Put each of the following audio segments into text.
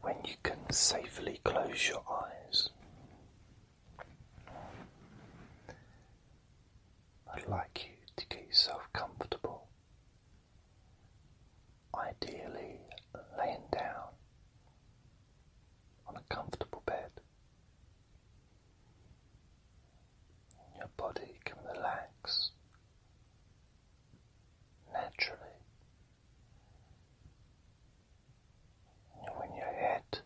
when you can safely close your eyes. I'd like you to get yourself comfortable, ideally laying down on a comfortable bed. Your body can relax naturally when your head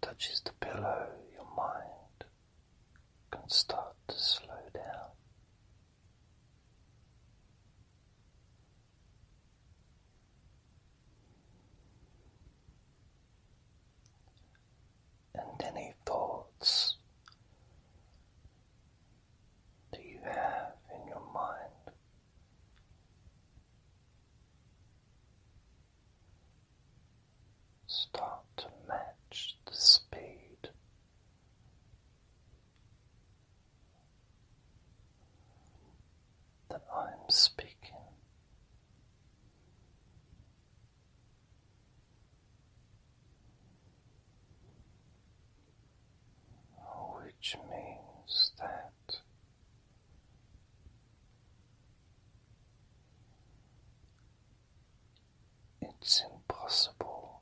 touches the pillow, your mind can start to slow down. And any thoughts that you have in your mind. Start to match the speed that I'm speaking which means that it's impossible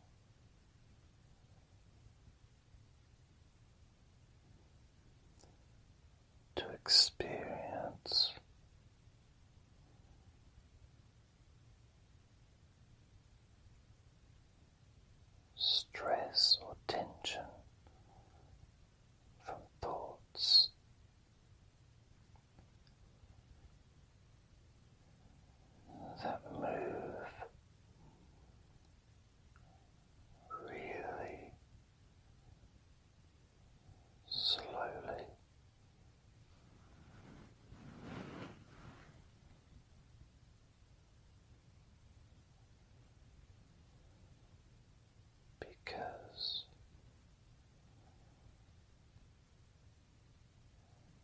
to experience stress or tension from thoughts. That move really slowly because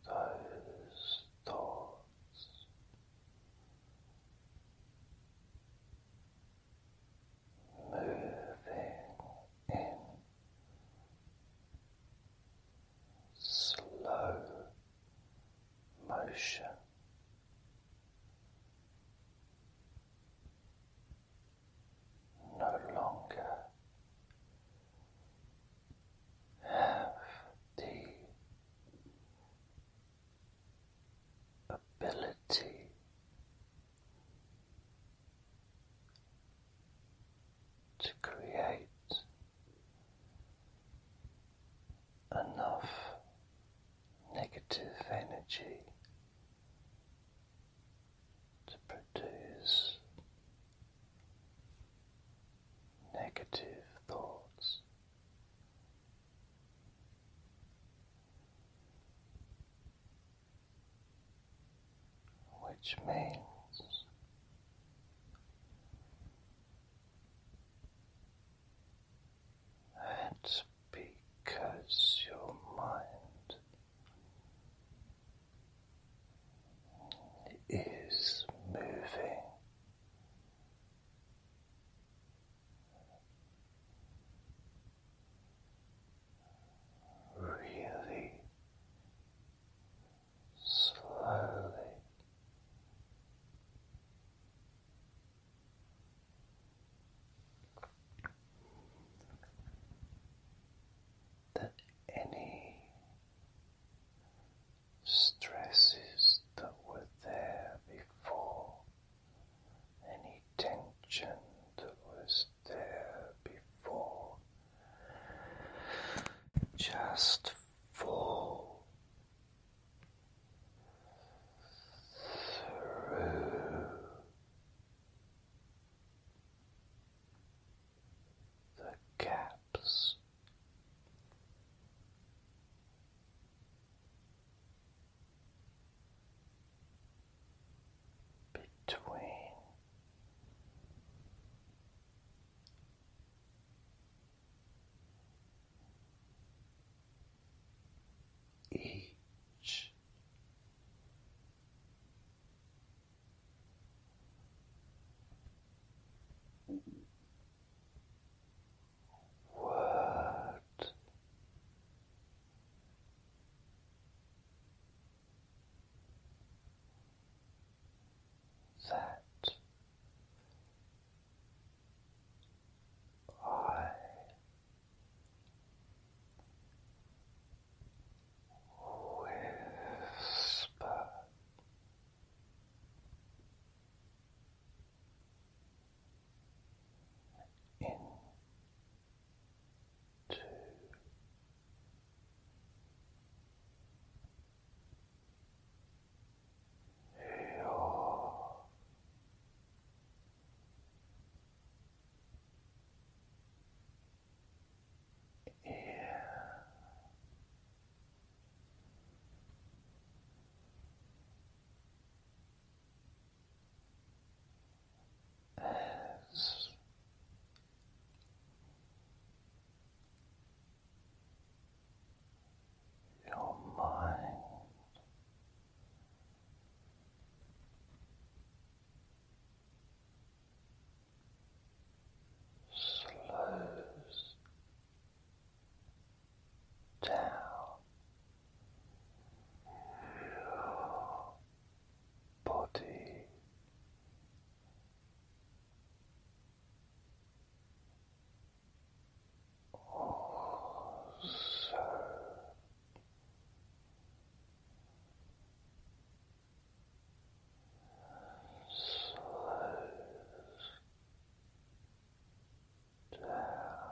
those thoughts moving in slow motion. No longer have the ability to create enough negative energy to produce negative thoughts which means that's because your mind is moving. Really slowly. That any stresses that were there before, any tension that was there before just fall through the gaps. Between each word that I whisper. In two, your ear as your mind slows down. Your body also slows down.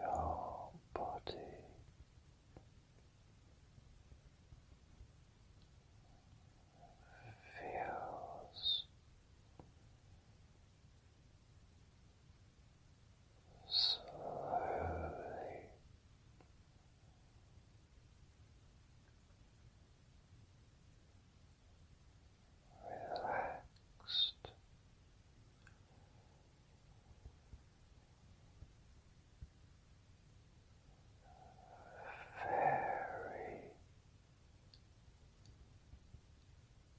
Your body feels slowly. Relaxed, very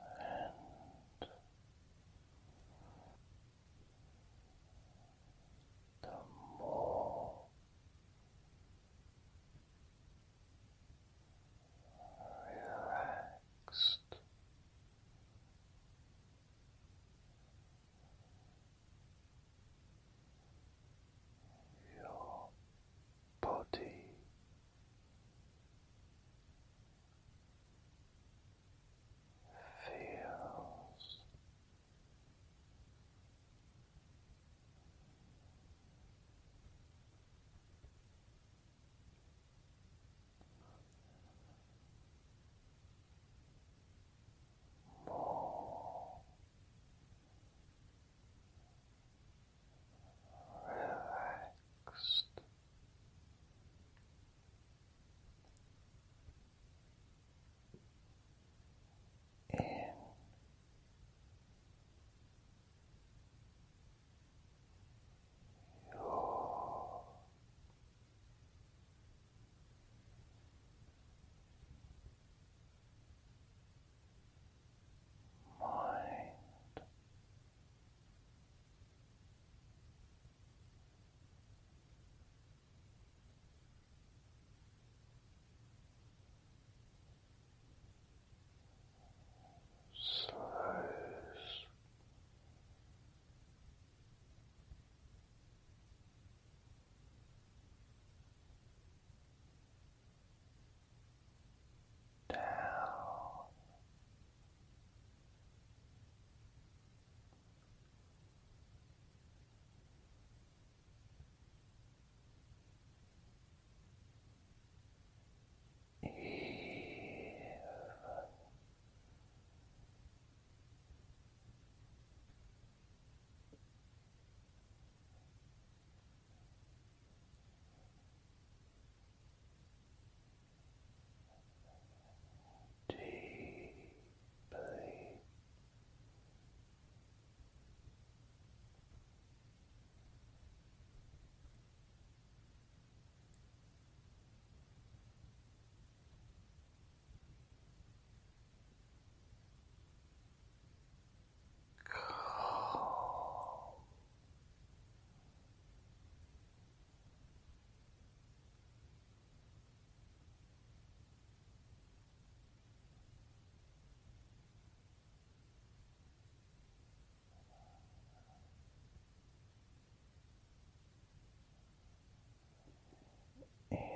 and the more relaxed. Your body feels more relaxed. In your mind. Slows down. Even deeply. Relax calm. In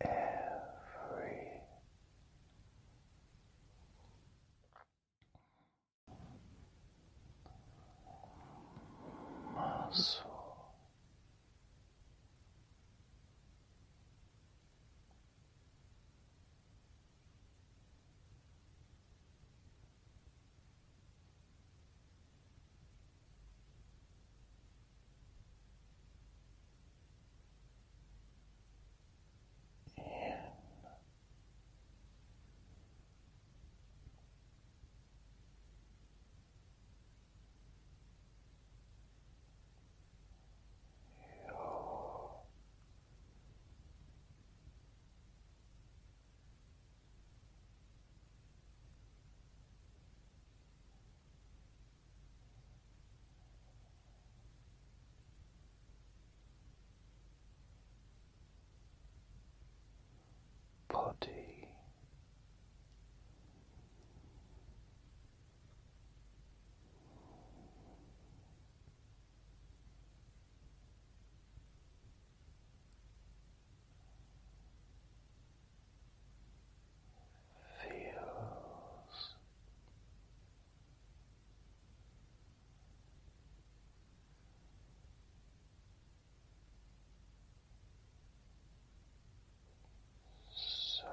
every muscle. In. you body Feels so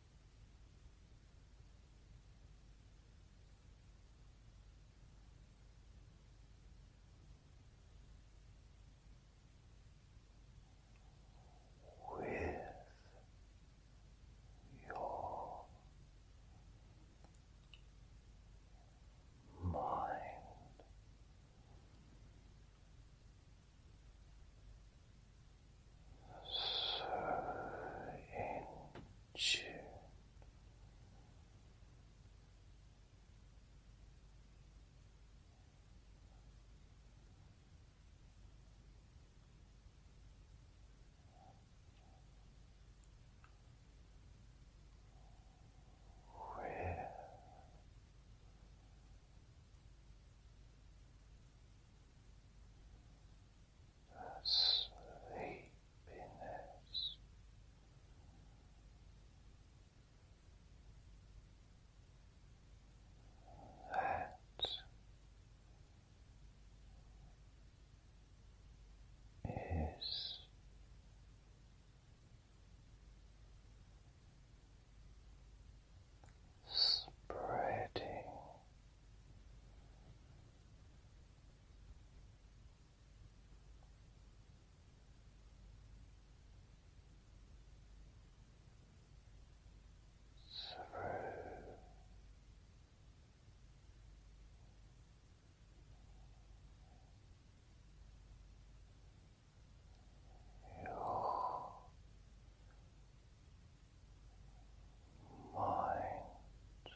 with your mind so in tune that sleepiness. That is spreading through your mind and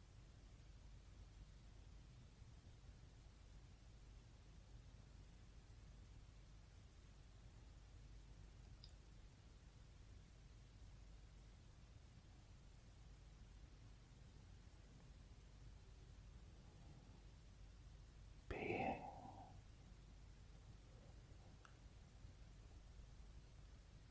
being this relaxed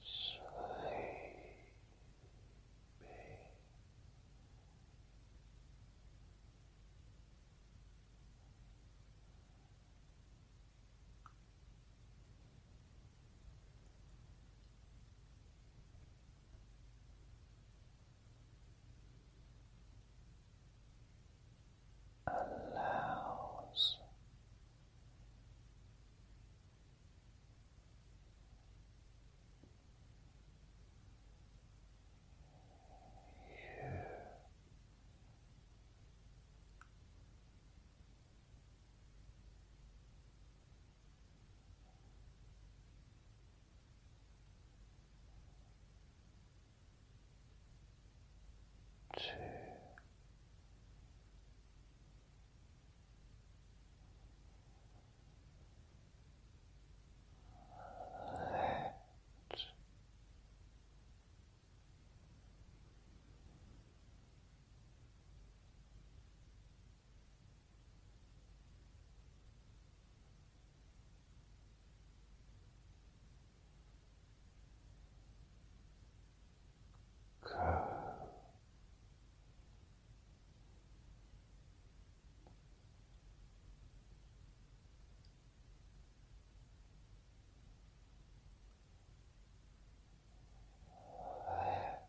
Sleeping allows you two, let Go. Let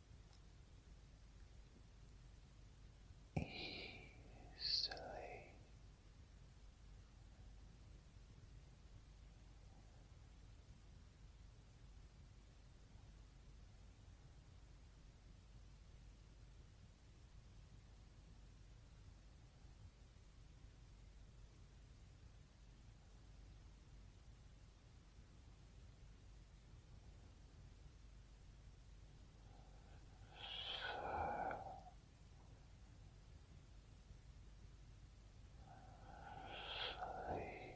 easily. Sleeping.